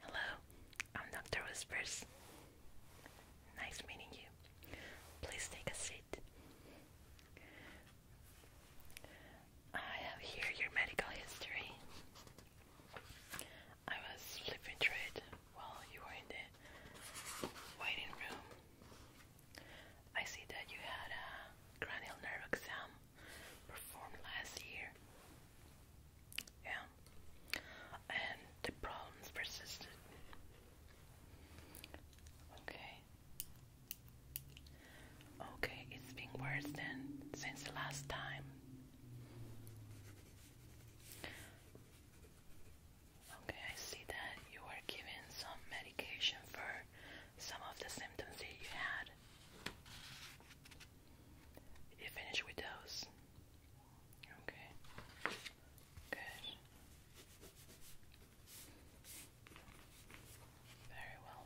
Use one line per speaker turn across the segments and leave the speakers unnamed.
Hello, I'm Dr. Whispers. Nice meeting you. Please take a seat. I have here your medical history. I was flipping through it while you were in the waiting room. I see that you had a cranial nerve exam performed last year. Yeah. And the problems persisted. Okay. Okay, it's been worse than since the last time. Okay, I see that you were given some medication for some of the symptoms that you had bad. You finish with those. Okay. Good. Very well.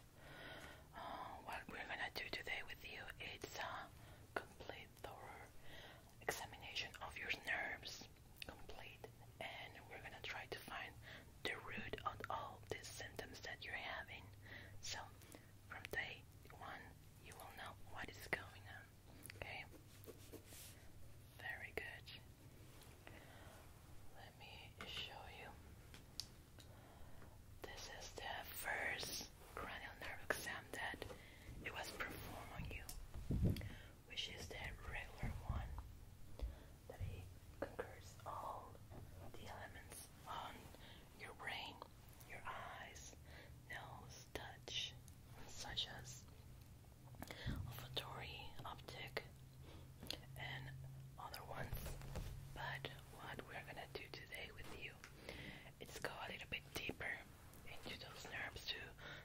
Uh, what we're gonna do today with you is a complete thorough examination of your nerves. Complete, and we're gonna try to find the root of all these symptoms that you're having. So from day one, you will know what is going on. Okay? Very good. Let me show you. This is the first cranial nerve exam that it was performed on you, which is the regular one that he conquers all the elements on your brain, your eyes, nose, touch, such as olfactory, optic, and other ones. But what we're gonna do today with you is go a little bit deeper into those nerves to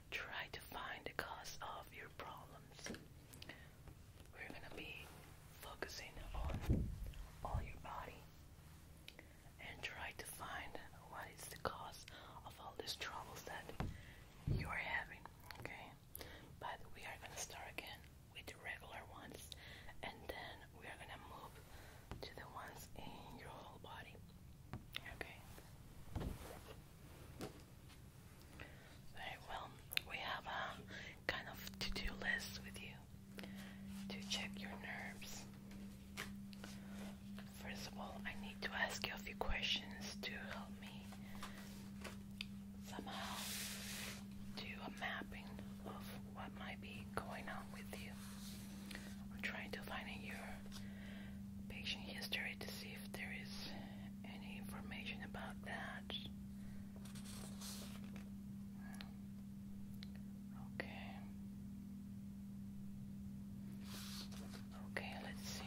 try to find the cause of your problems we're gonna be focusing on all your body and try to find what is the cause of all these troubles that you're having, okay? But we are gonna start again with the regular ones and then we are gonna move to the ones in your whole body, okay? Very well. We have a kind of to-do list with you to check your nerves. First of all, I need to ask you a few questions to help me somehow do a mapping of what might be going on with you. I'm trying to find in your patient history to see if there is any information about that Okay. Okay, let's see.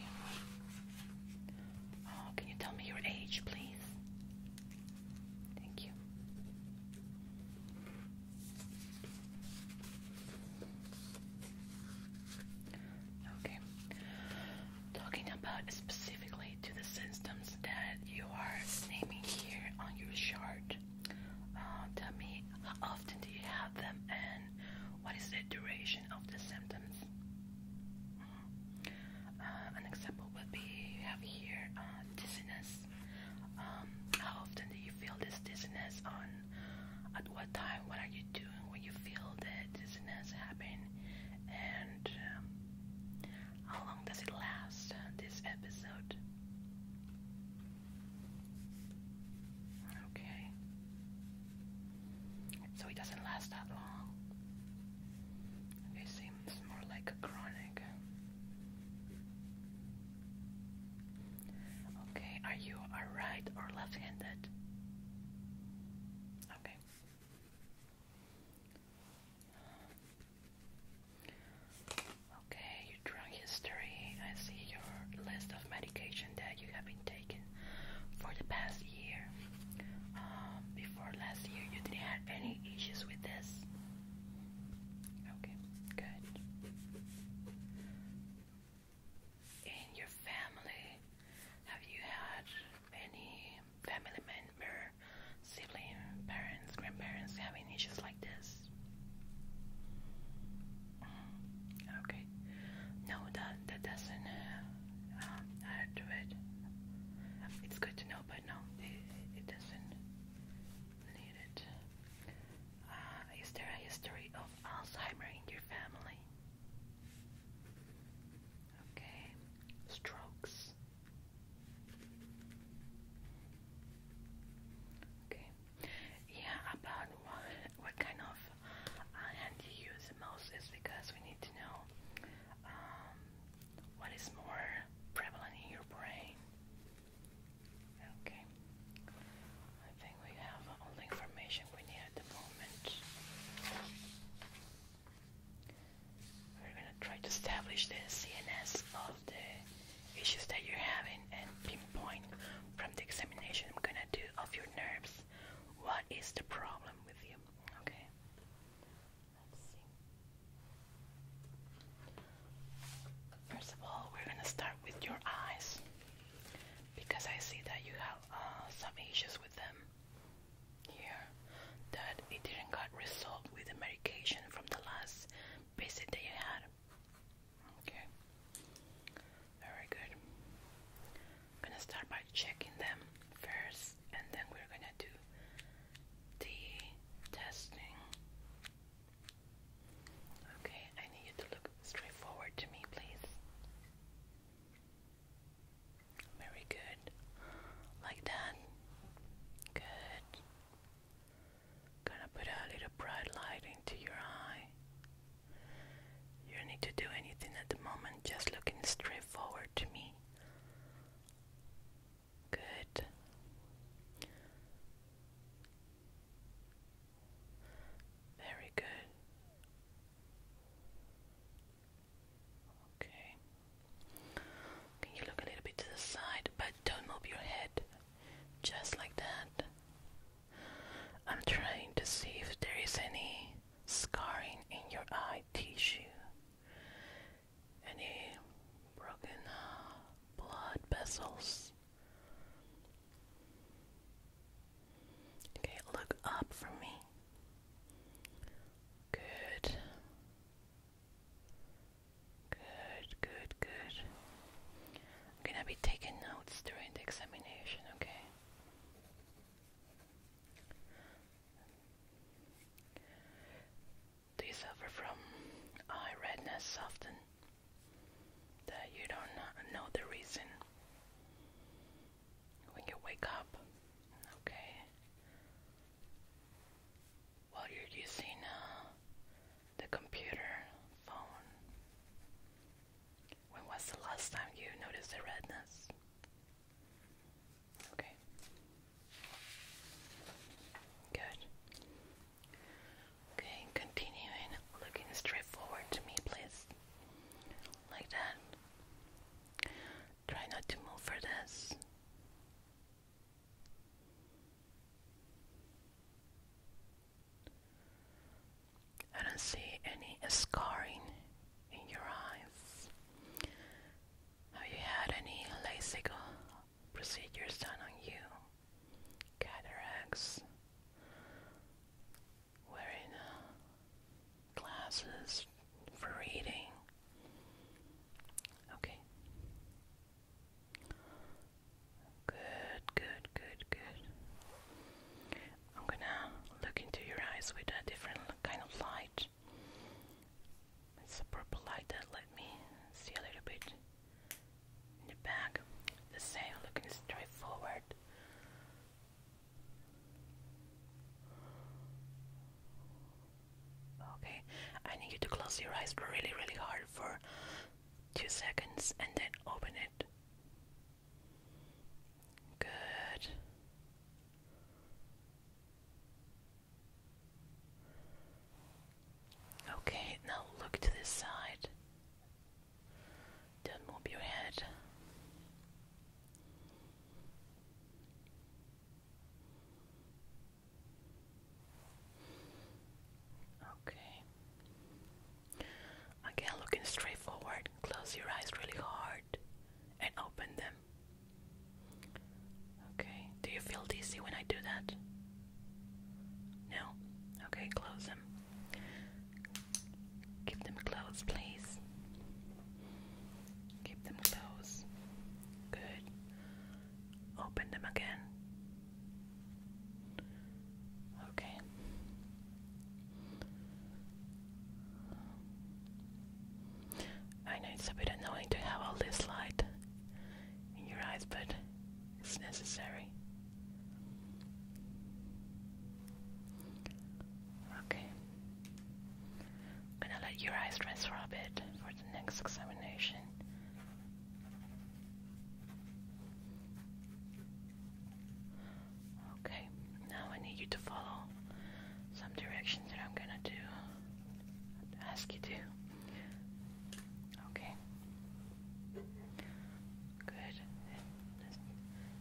Oh, can you tell me your age, please? Thank you. Okay talking about specifically to the symptoms that you are naming here on your chart. Uh, tell me, how often do you have them, and what is the duration of the symptoms? Mm-hmm. Uh, an example would be you have here uh, dizziness. Um, how often do you feel this dizziness? On at what time? What are you doing when you feel the dizziness happen? And um, how long does it last, uh, this episode? Okay. So it doesn't last that long. It seems more like a chronic. Okay, are you a right or left handed? Okay. Okay, your drug history. I see your list of medication that you have been taking for the past year. Um, before last year, you didn't have any issues with this. Okay, good. In your family, have you had any family member, sibling, parents, grandparents having issues like this? Mm, okay. No, that that doesn't uh, uh, add to it. It's good to know, but no, it, it doesn't need it. Uh, is there a history of Alzheimer in your family? Okay. Strokes. Okay. Yeah, about what what kind of uh, hand you use most is because we need to know um, what is more prevalent in your brain. Okay. I think we have all the information we need at the moment. We're gonna try to establish the CNS of the issues that you're having and pinpoint from the examination I'm gonna do of your nerves what is the problem with you. Okay. Let's see. First of all, we're gonna start with your eyes because I see that you have uh, some issues with them here that it didn't get resolved with the medication from the last visit that you had. Okay. Very good. I'm gonna start by checking them first and then we're gonna do the testing. Okay, I need you to look straight forward to me, please. Very good. Like that. Good. Gonna put a little bright light into your eye. You don't need to do anything at the moment, just looking straight forward to me. Good. Very good. Okay. Can you look a little bit to the side, but don't move your head. Just like that. I'm trying to see if there is any scarring in your eye tissue. Any broken uh, blood vessels. Okay, look up for me. Good. Good, good, good. I'm gonna be taking notes during the examination, okay? Do you suffer from eye redness often? That you don't know the reason when you wake up? Okay while you're using uh, the computer phone. When was the last time you noticed the redness? Okay. Good. Okay, continuing looking straight forward to me, please. Like that. Try not to move for this. I don't see any scarring in your eyes. Have you had any LASIK procedures done on you? Cataracts? Wearing a classes for reading. Okay. Good, good, good, good. I'm gonna look into your eyes with a different kind of light. It's a purple light that let me see a little bit in the back. The same, looking straight forward. Okay, I need you to close your eyes really, really hard for two seconds and then open it. Good. Okay, now look to this side. Don't move your head. Okay. Again, looking straight forward, close your eyes really hard and open them. Okay, do you feel dizzy when I do that? No? Okay, close them. Keep them closed, please. Keep them closed. Good. Open them again. Okay. I know it's a bit annoying to have all this light in your eyes, but it's necessary. Okay. I'm gonna let your eyes rest for a bit for the next examination. Okay, now I need you to follow some directions that I'm gonna do. Ask you to. Okay. Good.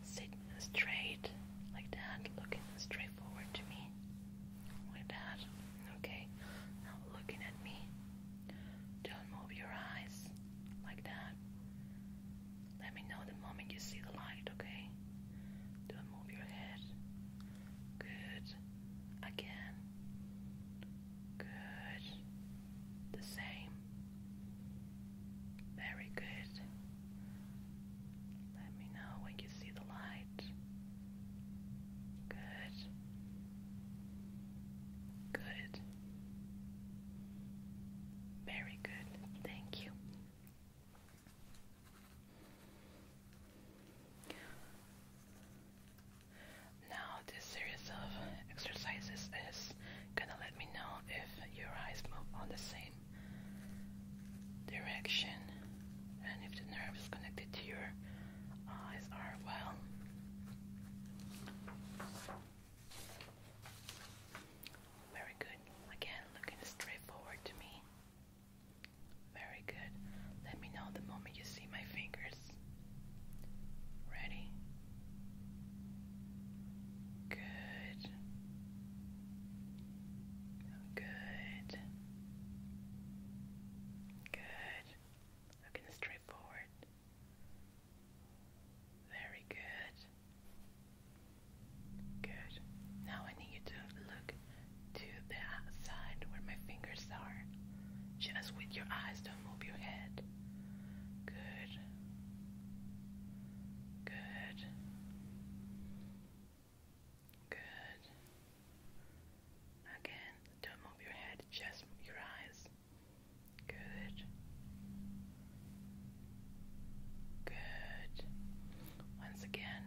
sit straight like that, looking straight to me. Like that. Okay. Now looking at me. Don't move your eyes. Like that. Let me know the moment you see the light, okay? Don't move your head. Good. Again. Good. The same. Very good. Let me know when you see the light. Good. Good. Very good. Thank you. Now, this series of exercises is gonna let me know if your eyes move on the same direction and if the nerve is connected to your eyes are well. Very good. Again, looking straight to me. Very good. Let me know the moment you see my fingers. Ready? Good. Good. Good. Looking straight forward. Very good. Good. Now I need you to look to the outside where my fingers are. Just with your eyes, don't move your head. Good. Good. Good. Again, don't move your head, just your eyes. Good. Good. Once again.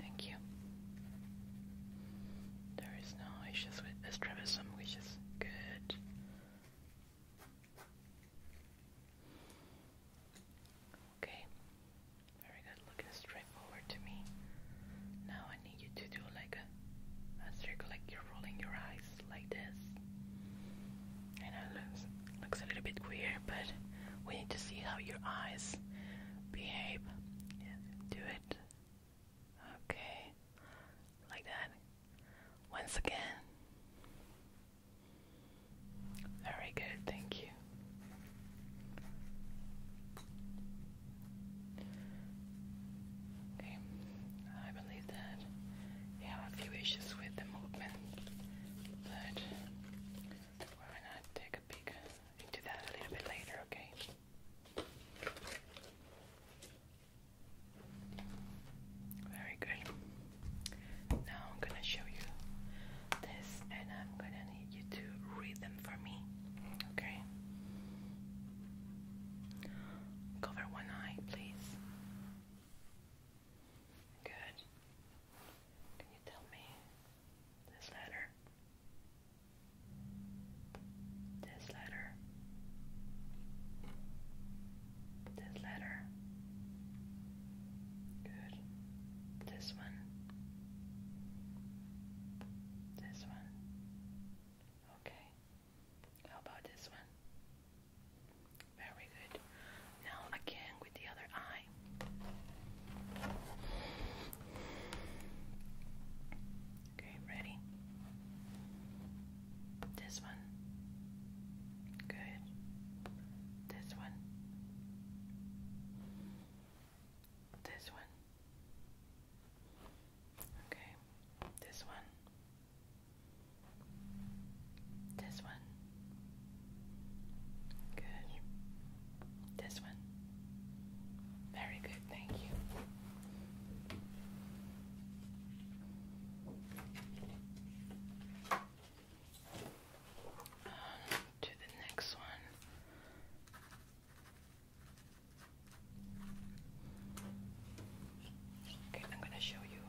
Thank you. There is no issues with this trapezium, which is good. Okay. Very good. Looking straight forward to me. Now I need you to do like a, a circle, like you're rolling your eyes like this. I know looks looks a little bit weird, but we need to see how your eyes behave. Yeah, do it. Okay. Like that. Once again. Very good, thank you. Okay, I believe that you have a few issues with the movement, but why not take a peek into that a little bit later, okay? Very good. Now I'm gonna show you this and I'm gonna need you to read them for me. Okay? Cover one eye, please. Good. Can you tell me this letter? This letter. This letter. Good. This one. This one. Okay. How about this one? Very good. Now again with the other eye. Okay, ready? This one. Good. This one. This one. Okay. This one. This one. Good. This one. Very good. Thank you to the next one. Okay, I'm gonna show you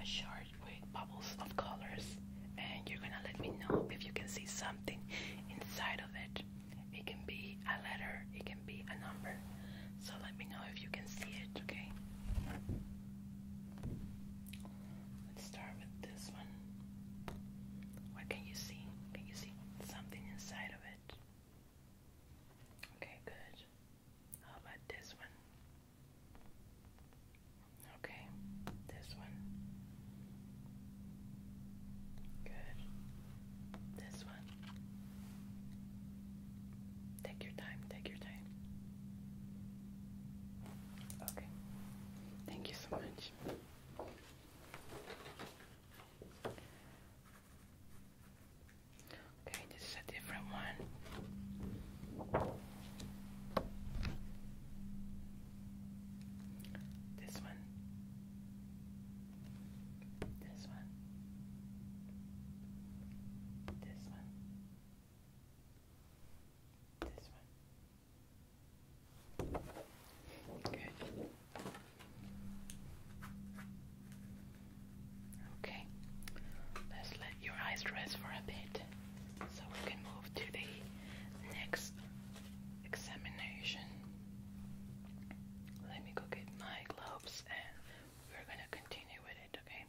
a chart with bubbles of colors, and you're gonna let me know if you can see something inside of it. It can be a letter, it can be a number. So let me know if you can see it, okay? Let's start with this one. What can you see? Can you see something inside of it? Okay, good. How about this one? Okay, this one. Good. This one. Take your time, take your time. Okay. Thank you so much. Okay, this is a different one. This one. This one. This one. This Okay, let's let your eyes rest for a bit so we can move to the next examination. Let me go get my gloves and we're gonna continue with it, okay?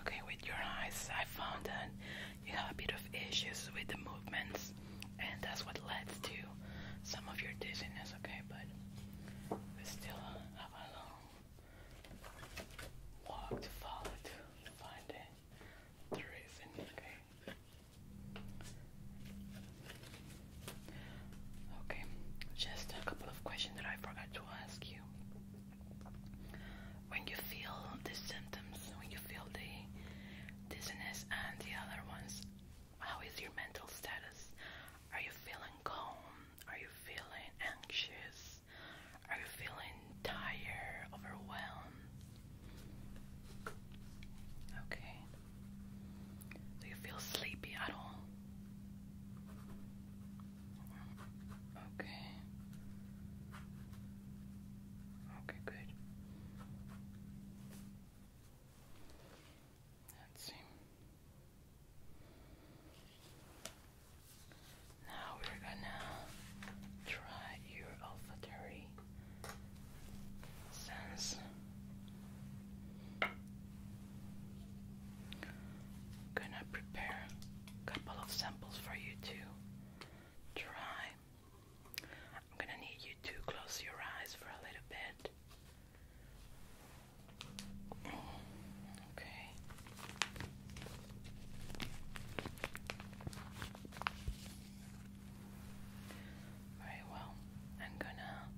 Okay, with your eyes, I found that you have a bit of issues with the movements, and that's what leads to some of your dizziness. Okay, but we still have a long walk to find it. The reason, okay. Okay, just a couple of questions that I forgot to ask you. When you feel the symptoms, when you feel the dizziness and the other ones, how is your mental status? Are you feeling calm? Are you feeling anxious? Are you feeling tired, overwhelmed? Okay. Do you feel sleepy at all? Okay. Okay, good. Let's see. Now we're gonna try your olfactory sense. Gonna prepare a couple of samples for you to try. I'm gonna need you to close your eyes for a little bit. Okay. Very well. I'm gonna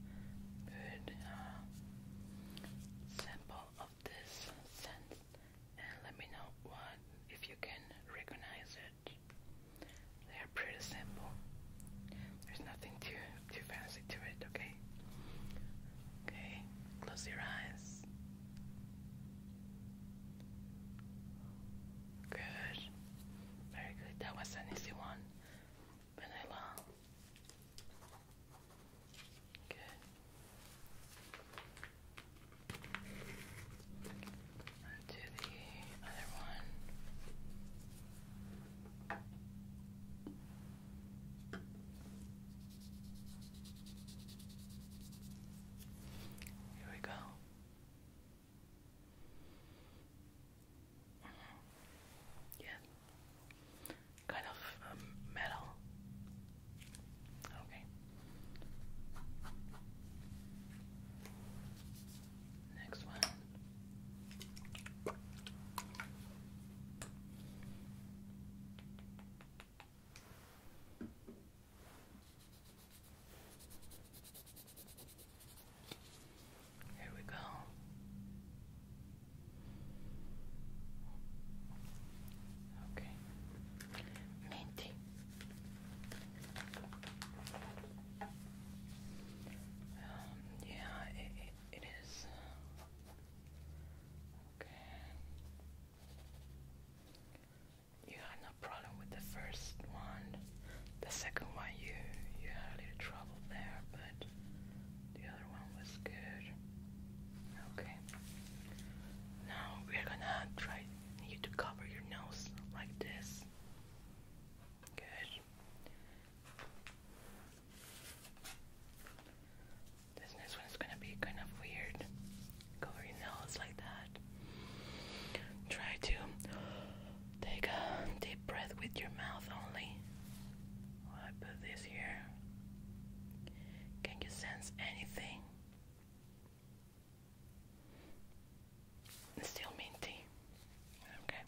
put a sample of this scent and let me know what if you can recognize it. They are pretty simple. There's nothing too too fancy to it, okay? Okay, close your eyes. Good. Very good. That was an easy one. Vanilla. Good. And to the other one. Here we go. Yeah kind of um, metal. Okay. Next one. Here we go. Ok, menti. Um, yeah, it is. Okay. You had no problem with the first one. The second one, you you had a little trouble there, but the other one was good. Okay. Now we're gonna try you to cover your nose like this. Good. This next one is gonna be kind of weird. Cover your nose like that. Try to take a deep breath with your mouth only. I put this here. Can you sense anything? still minty. Okay.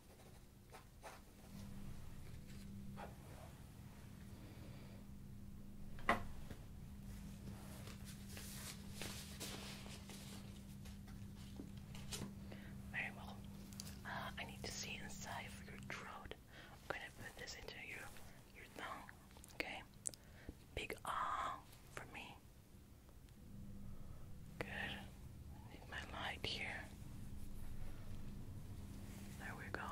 Very well. Uh, I need to see inside your throat. I'm gonna put this into your your thumb, okay? Big ah for me. Good. need my light here. There we go.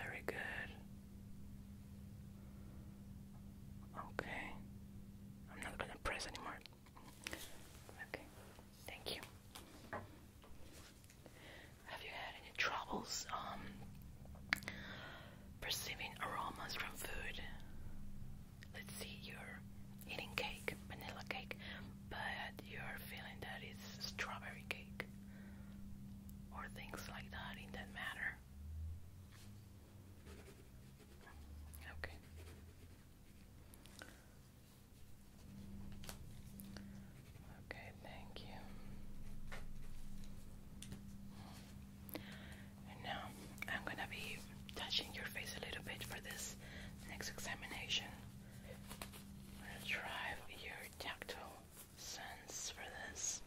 Very good. Okay. I'm not gonna press anymore. Okay. Thank you. Have you had any troubles um, perceiving aromas from food? Let's see, you're eating cake, vanilla cake, but you're feeling that it's strawberry cake or things like that in that matter. Okay. Okay, thank you. And now I'm going to be touching your face a little bit for this next examination. I'm drive your tactile sense for this.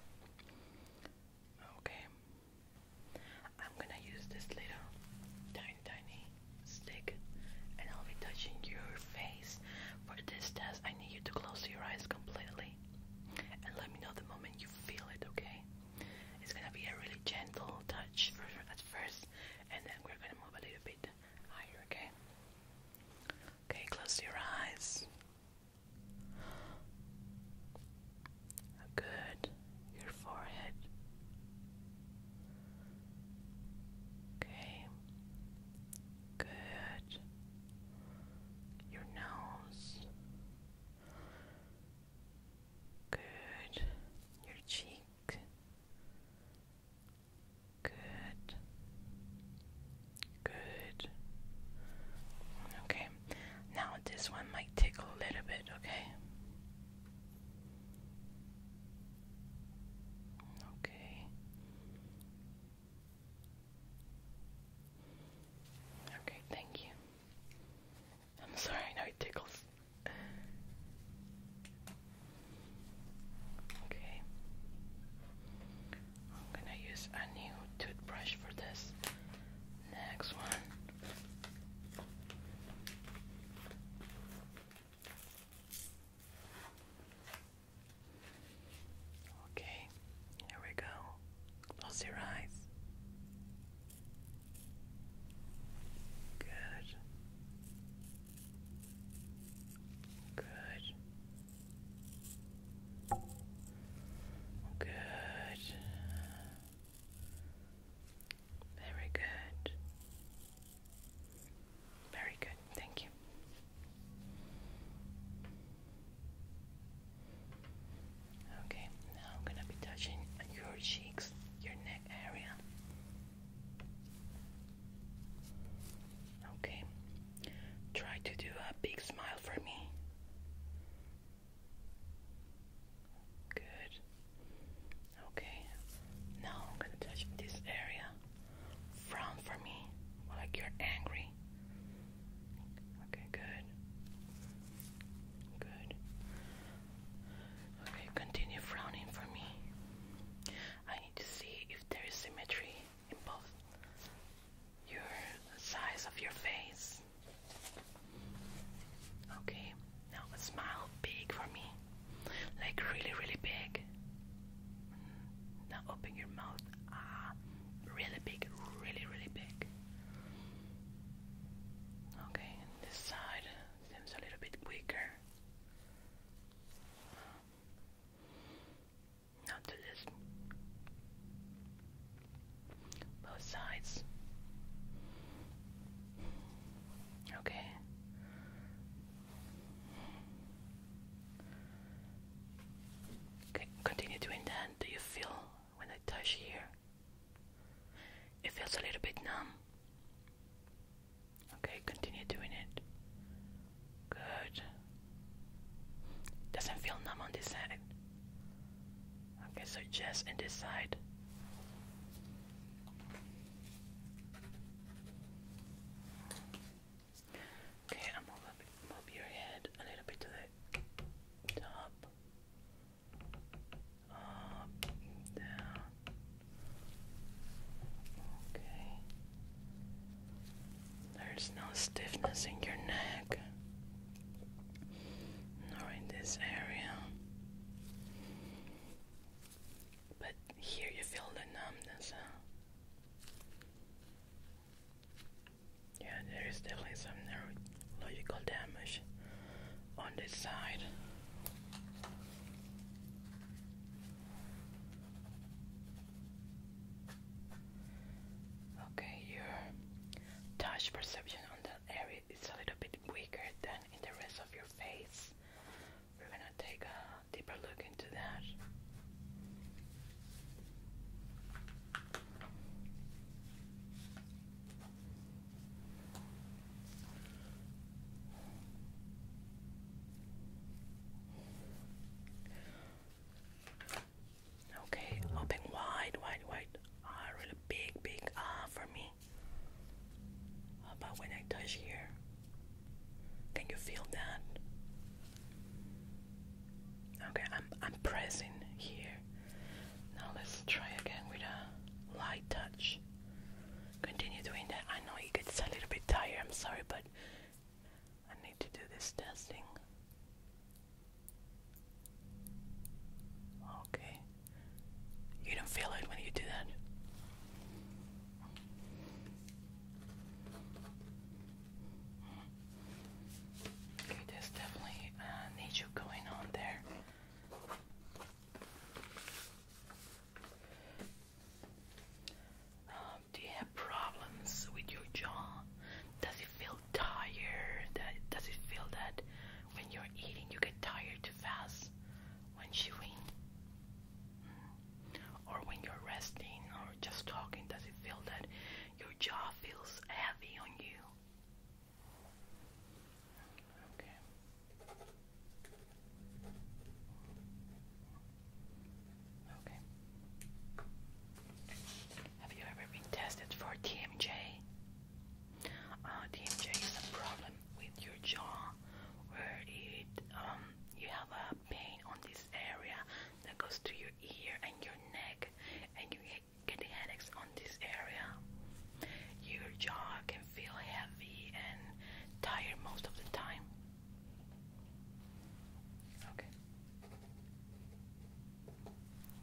Okay. I'm going to use this little tiny stick and I'll be touching your face. For this test, I need you to close your eyes completely and let me know the moment you feel it, okay? It's gonna be a really gentle touch for, at first, and then we're gonna move a little bit higher, okay? Okay, close your eyes. Good. Your forehead. Okay. Good. Your nose. Good. Your cheek. Good. Good. Okay. Now this one might take a little bit, okay? Okay. Okay, thank you. I'm sorry, I know it tickles. Okay. I'm gonna use a new toothbrush for this next one. Okay, here we go. Close your eyes. Good. Good. Good. Very good. Very good, thank you. Okay, now I'm gonna be touching your cheeks, your neck area. Okay, try to do a big smile for me. Good. Okay, now I'm gonna touch this area. Frown for me, like you're angry. Okay, good. Good. Okay, continue frowning for me. I need to see if there is symmetry in both your size of your face. Okay, now a smile big for me. Like really, really big. Now open your mouth. Ah, really big, really, really big. Okay, this side seems a little bit weaker. Now do this. Both sides. Okay. C continue doing that. Do you feel when I touch here? It feels a little bit numb. Okay, continue doing it. Good. Doesn't feel numb on this side. Okay, so just in this side. Okay, I'm gonna move, your head a little bit to the top, up, down. Okay. There's no stiffness in your neck, nor in this area. But here you feel the numbness, Yeah, there is definitely some neurological damage on this side. Okay, your touch perception on that area is a little bit weaker than the rest of your face. We're gonna take a deeper look into that. Okay, open wide, wide, wide. Ah, really big, big ah for me. How about when I touch here? Can you feel that? Okay, I'm I'm pressing here. Now let's try again with a light touch. Continue doing that. I know you get a little bit tired, I'm sorry, but I need to do this testing. Okay. You don't feel it when you do that. Okay, there's definitely uh, nature going on there. Um, do you have problems with your jaw? Does it feel tired? Does it feel that when you're eating you get tired too fast? when chewing mm. or when you're resting or just talking does it feel that your jaw feels heavy on you okay okay have you ever been tested for TMJ? Uh, TMJ is a problem with your jaw where it um, you have a pain on this area that goes to your ear and your neck and you get headaches on this area. Your jaw can feel heavy and tired most of the time. Okay.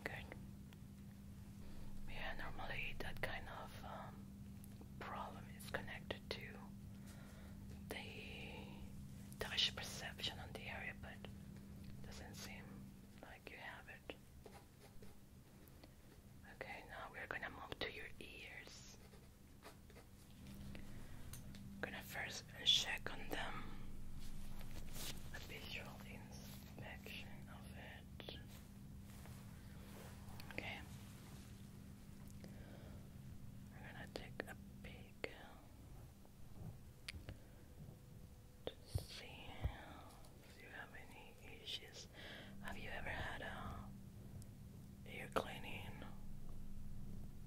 Good. Yeah, normally that kind of um, problem is connected to the touch perception on the area, but doesn't seem like you have it. Okay, now we're gonna move to your ears. gonna first check on them. A visual inspection of it. Okay. We're gonna take a peek to see if you have any issues. Have you ever had a ear cleaning,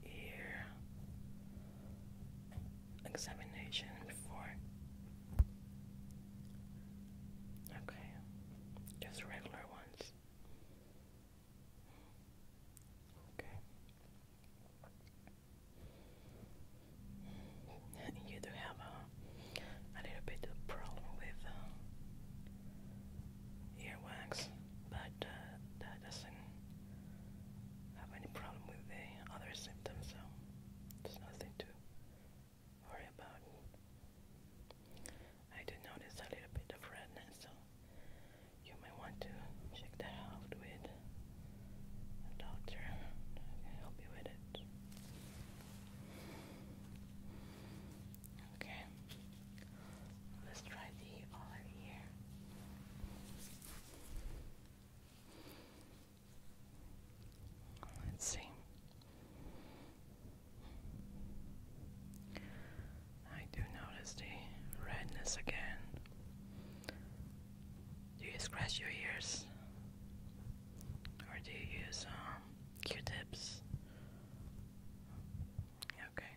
ear examination before? Okay, just regular ones this. You do have a, a little bit of problem with uh, earwax, but uh, that doesn't have any problem with the other symptoms, so there's nothing to worry about. I do notice a little bit of redness, so you may want to check that out with a doctor. I can help with it. Okay, let's try the other ear. Let's see. I do notice the redness again. Do you scratch your ears? Or do you use um, Q-tips? Okay,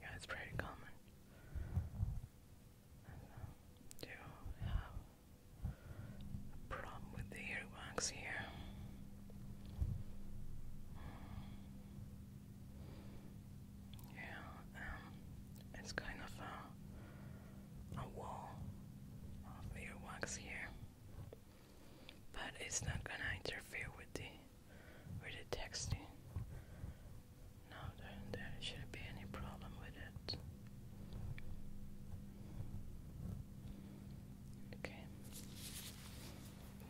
yeah, it's pretty common. Do you have a problem with the earwax here? Yeah, um, it's kind of a, a wall of earwax here, but it's not gonna interfere with the with the texting. No, there, there shouldn't be any problem with it. Okay.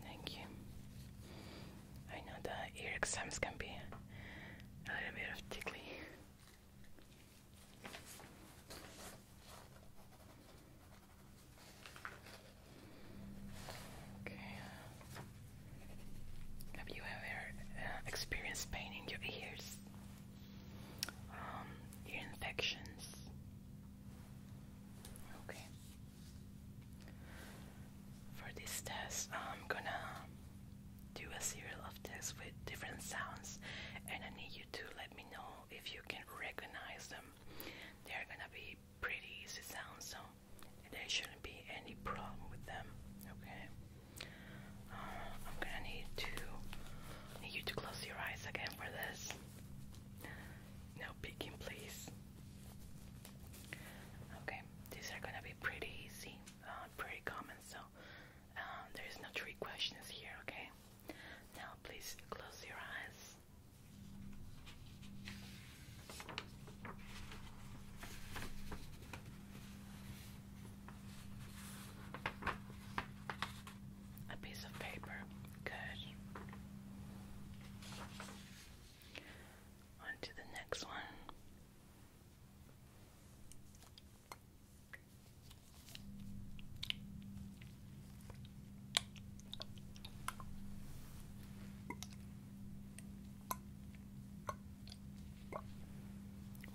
Thank you. I know the ear exams can be a little bit of tickly. Okay. Have you ever uh, experienced pain in your ears? Um, ear infections? Okay. For this test, I'm gonna do a series of tests with different sounds, and I need you to let me know if you can recognize them. They're gonna be pretty easy sounds, so there shouldn't be any problem with them. Okay. Uh, I'm gonna need to need you to close your eyes again for this. Now peeking, please. Okay, these are gonna be pretty easy, uh, pretty common, so uh, there's no trick questions here, okay? Now, please close your eyes a piece of paper. Good. On to the next one.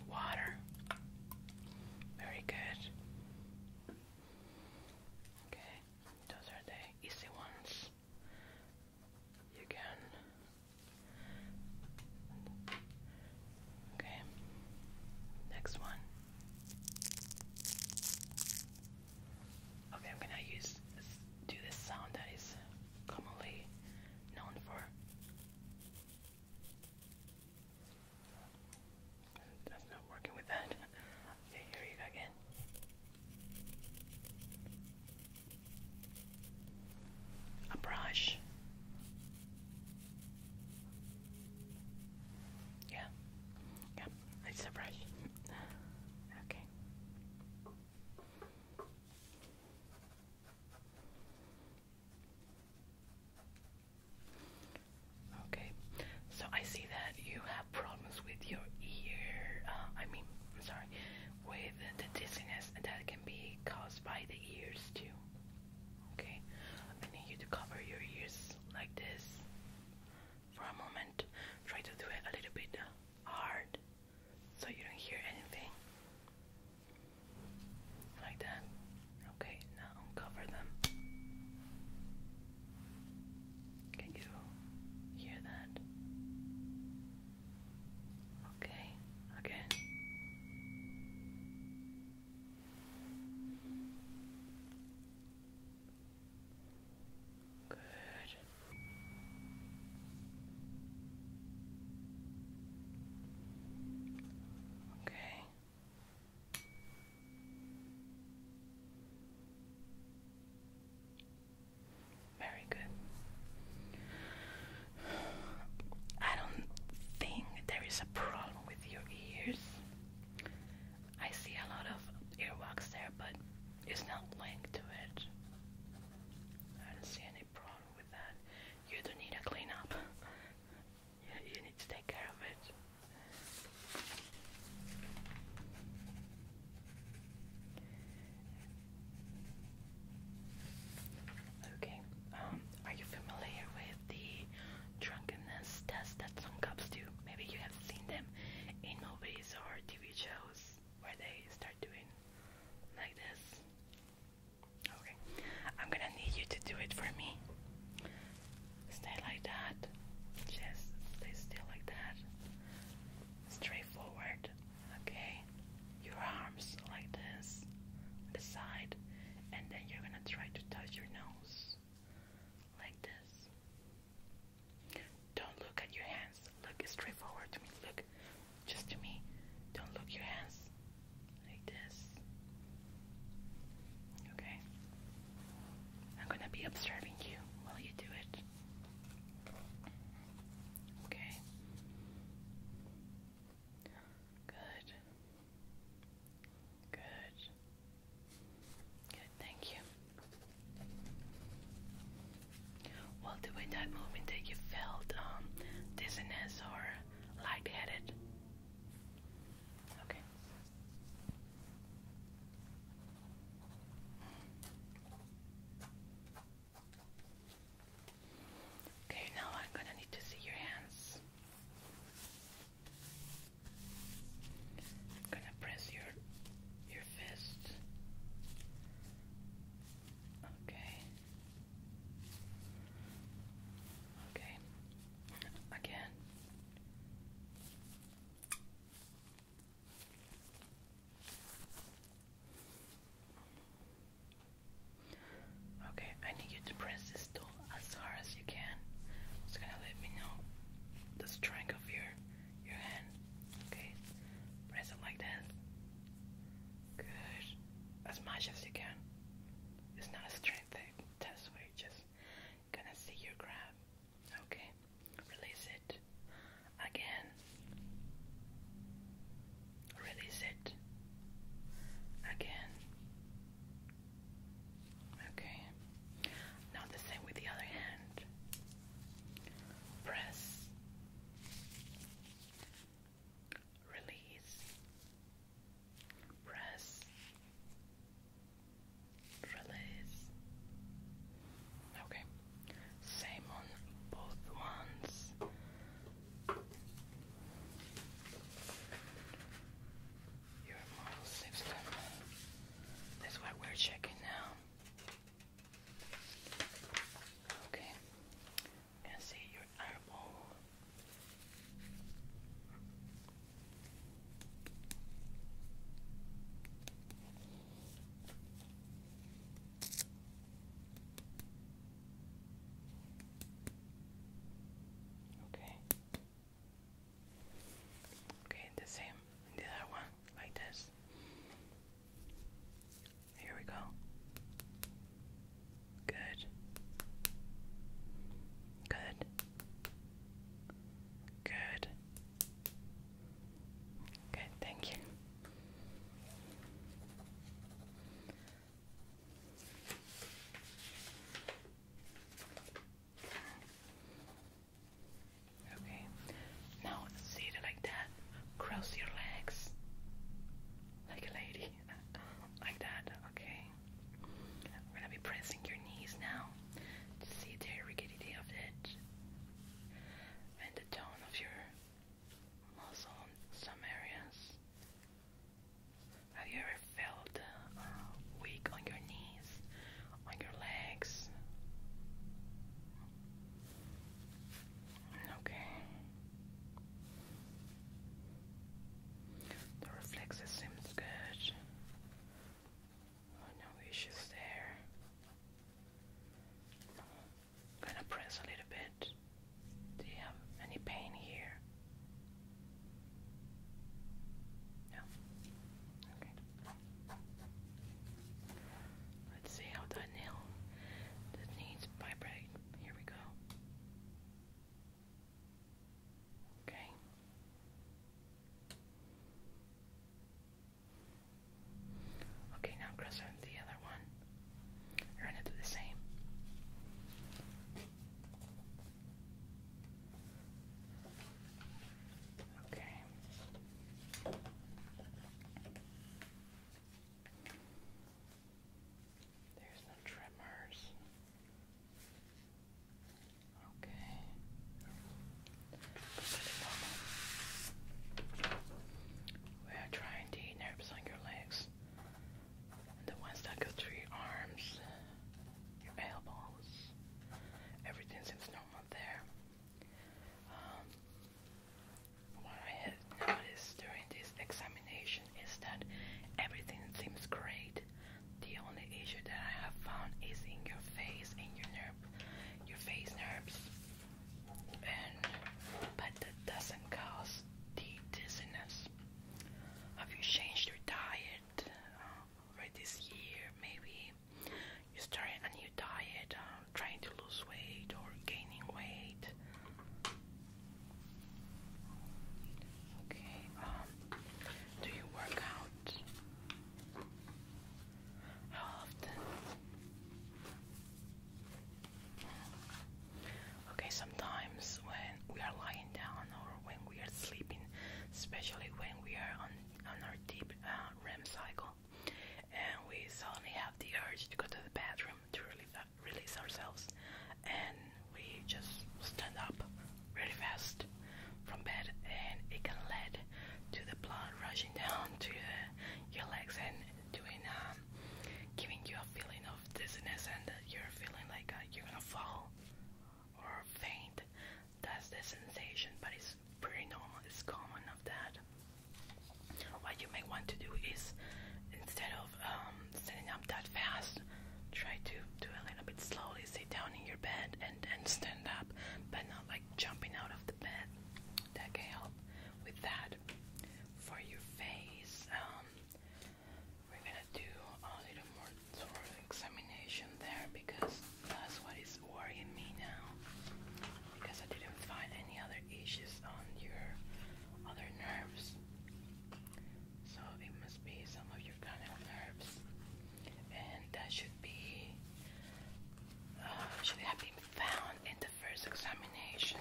Water. Very good. Okay. Those are the easy ones. You can. Okay. Next one. Okay, I'm gonna use do this sound that is commonly known for. That's not working with that. here you go again. A brush. Yeah. Yeah, it's a brush. Okay. Okay, so I see that you have problems with your ear. Uh, I mean, I'm sorry, with the dizziness that can be caused by the ears too. Okay, I need you to cover your ears like this for a moment. Try to do it a little bit uh, hard so you don't hear anything. Like that. Okay, now uncover them. Can you hear that? Okay, again. Good. Okay. Very good. I don't think there is a problem with your ears. I see a lot of earwax there, but it's not linked to it. I don't see any problem with that. You don't need a cleanup. you, you need to take care of it. Okay, um, are you familiar with the drunkenness test that some cops do? Maybe you have seen them in movies or TV shows where they start doing like this. Okay, I'm gonna need you to do it for me. Stay like that. Just stay still like that. Straight forward. Okay. Your arms like this. The side. And then you're gonna try to touch your nose. Like this. Don't look at your hands. Look straight forward to me. Look just to me. Don't look your hands. Like this. Okay? I'm going to be observing you while you do it. Okay? Good. Good. Good, thank you. Well, do that movement that you felt um, dizziness or lightheaded? Okay. Okay, now I'm gonna need to see your hands. I'm gonna press your your fist. Okay. Okay. Again. Okay, I need you to press this tool as hard as you can. It's gonna let me know the strength of your your hand. Okay, press it like that. Good, as much as you can. It's not a strength test where you just gonna see your grab. Okay, release it again. Release it again. Okay, now the same with the other hand. Press, release, press, Release. Okay. Same on both ones. Your model That's what we're checking now. Okay. And see your eyeball. Okay. Okay, the same the other one, like this. Here we go. Good. Good. Good. Good, thank you. Okay, now sit like that, cross your legs like a lady, like that, okay. We're gonna be pressing your knees now to see the rigidity of it and the tone of your muscle some areas. Have you ever felt uh, weak on your knees, on your legs? Okay. The reflexes seems good. Oh, no issues there. gonna press a little bit. Do you have any pain here? No. Okay. Let's see how that nail that needs vibrate. Here we go. Okay. Okay, now cross out the other one. You're going the same. Okay. There's the trimmers. Okay. We are trying the nerves on your legs, and the ones that go through your arms, your elbows. Everything seems normal there. Um, what I have noticed during this examination is that everything seems great. The only issue that I have found is in your face, in your nerve, your face nerves, and but that doesn't cause the dizziness. Have you changed your diet uh, right this year? Maybe you started a new diet, uh, trying to lose weight or gaining weight. Okay. Um, do you work out? How often? Okay, sometimes when we are lying down or when we are sleeping, especially when we are on, on our deep uh, REM cycle, and we suddenly have the urge to go to the bathroom to release ourselves, and we just stand up really fast from bed and it can lead to the blood rushing down to your legs and doing um, giving you a feeling of dizziness and you're feeling like uh, you're gonna fall or faint. That's the sensation, but it's pretty normal. It's common of that. What you may want to do is instead of um, standing up that fast, try to do a little bit slowly. Sit down in your bed and and stand up, but not like jumping out of the bed. That can help with that. For your face, um, we're gonna do a little more sort of examination there because that's what is worrying me now. Because I didn't find any other issues on your other nerves. So it must be some of your cranial nerves, and that should be uh, should have been found in the first examination.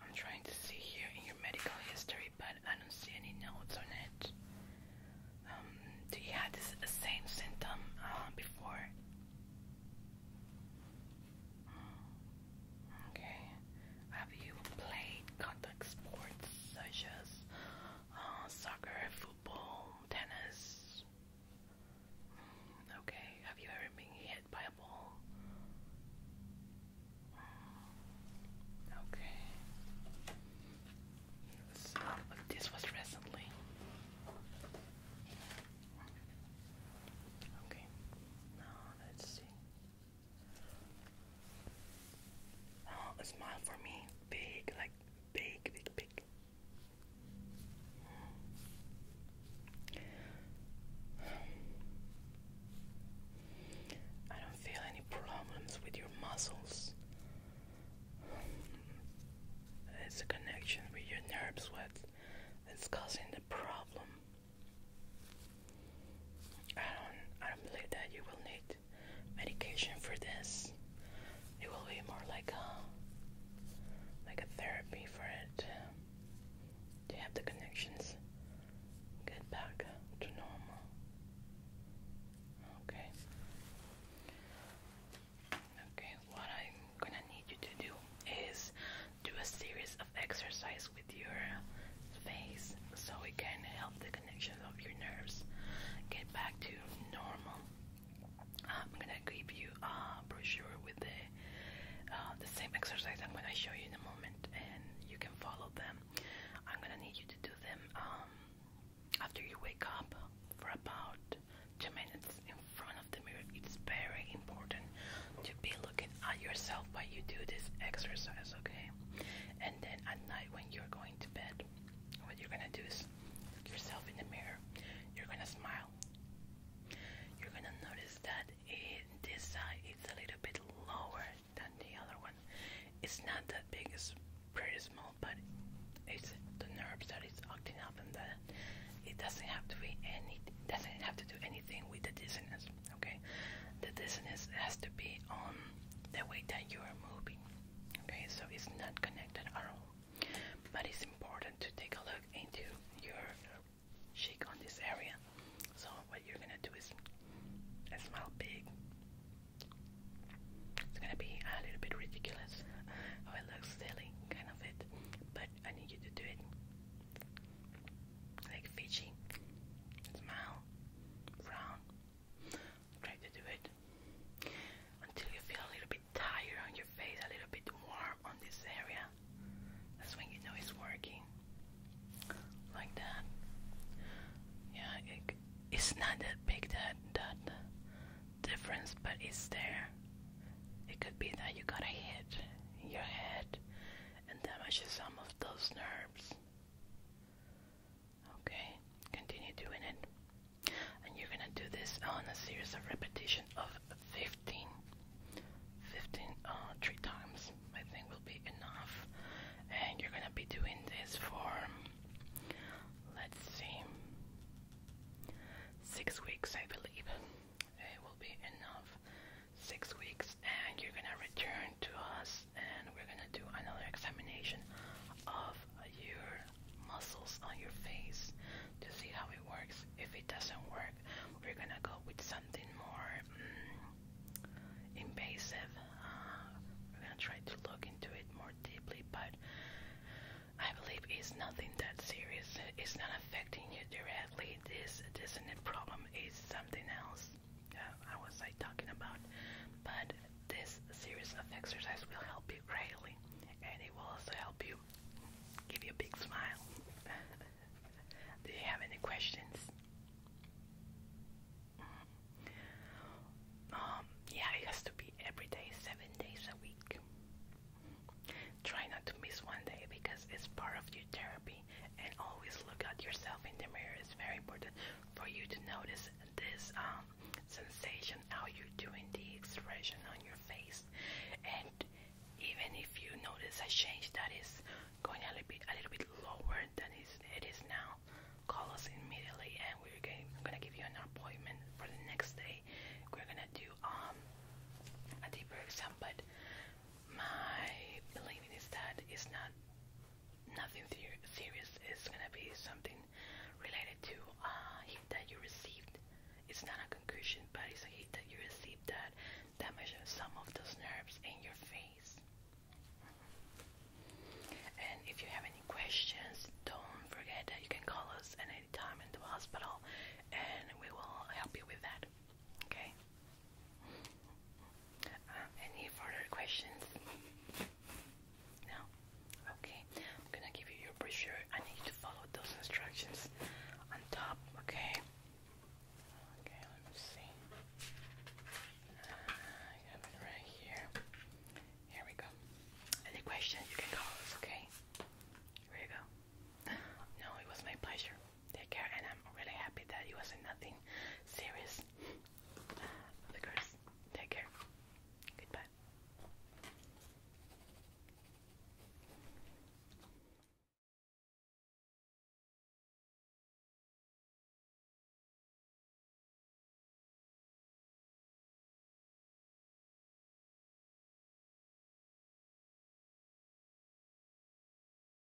I'm trying to see here in your medical history, but I don't see any notes on it. Um, do you have the same symptom uh, before? Mm, okay. Have you played contact sports such as uh, soccer, football, tennis. Mm, okay, have you ever been hit by a ball? Mm, okay. Uh, this was recently. Okay, now let's see. A smile for me. Big, like big, big, big. I don't feel any problems with your muscles. It's a connection with your nerve that's causing the problem. I don't I don't believe that you will need medication for this. It will be more like a like a therapy for it. To have the connections get back to normal. Okay. Okay, what I'm gonna need you to do is do a series of exercise with your face so we can help the connections of your nerves get back to normal. I'm gonna give you a brochure with the uh, the same exercise I'm gonna show you in a moment, and you can follow them. I'm gonna need you to do them um, after you wake up for about two minutes in front of the mirror. It's very important to be looking at yourself while you do this exercise, okay? And then at night when you're going to bed, what you're gonna do is look yourself in the mirror. You're gonna smile. You're gonna notice that it, this side is a little bit lower than the other one. It's not that big, it's pretty small, but it's the nerves that is acting up and that it doesn't have to be any doesn't have to do anything with the dissonance, okay? The dissonance has to be on the way that you are moving. Okay, so it's not connected at all, but it's important to take a look into your cheek on this area. So what you're gonna do is smile big. It's gonna be a little bit ridiculous. it looks silly, kind of it, but I need you to do it like Fiji. Smile, frown, Try to do it until you feel a little bit tired on your face, a little bit warm on this area. That's when you know it's working. Like that. Yeah, it's not that big that that difference, but it's there. It could be that you got a hit in your head and damages some of those nerves. Okay, continue doing it. And you're gonna do this on a series of repetition of 15. 15 uh, three times, I think will be enough. And you're gonna be doing this for, let's see, six weeks, I believe. It will be enough. Six weeks, and you're gonna return to us and we're going to do another examination of your muscles on your face to see how it works. If it doesn't work, we're going to go with something more mm, invasive. Uh, we're going to try to look into it more deeply, but I believe it's nothing that serious. It's not affecting you directly. This, this isn't a problem. It's something else uh, I was like talking about, but this series of exercise will help you greatly, and it will also help you give you a big smile. Do you have any questions? Mm-hmm. Um, yeah, it has to be every day, seven days a week. Try not to miss one day because it's part of your therapy. And always look at yourself in the mirror. It's very important for you to notice this um, sensation, how you're doing the expression on your face, and even if you notice a change that is going a little bit, a little bit lower than it is now, call us immediately, and we're going, i gonna give you an appointment for the next day. We're gonna do um a deeper exam, but my believing is that it's not nothing serious. It's gonna be something related to a hit that you received. It's not a concussion, but it's a hit that you received that damaged some of those nerves in your face. And if you have any questions, don't forget that you can call us at any time in the hospital, and we will help you with that. Okay. Uh, any further questions? Now, okay, I'm gonna give you your brochure. I need you to follow those instructions on top, okay? Okay, let me see. Ah, I have it right here. Here we go. Any questions, you can call us, okay? Here you go. No, it was my pleasure. Take care, and I'm really happy that it wasn't nothing serious. Of course. Take care. Goodbye.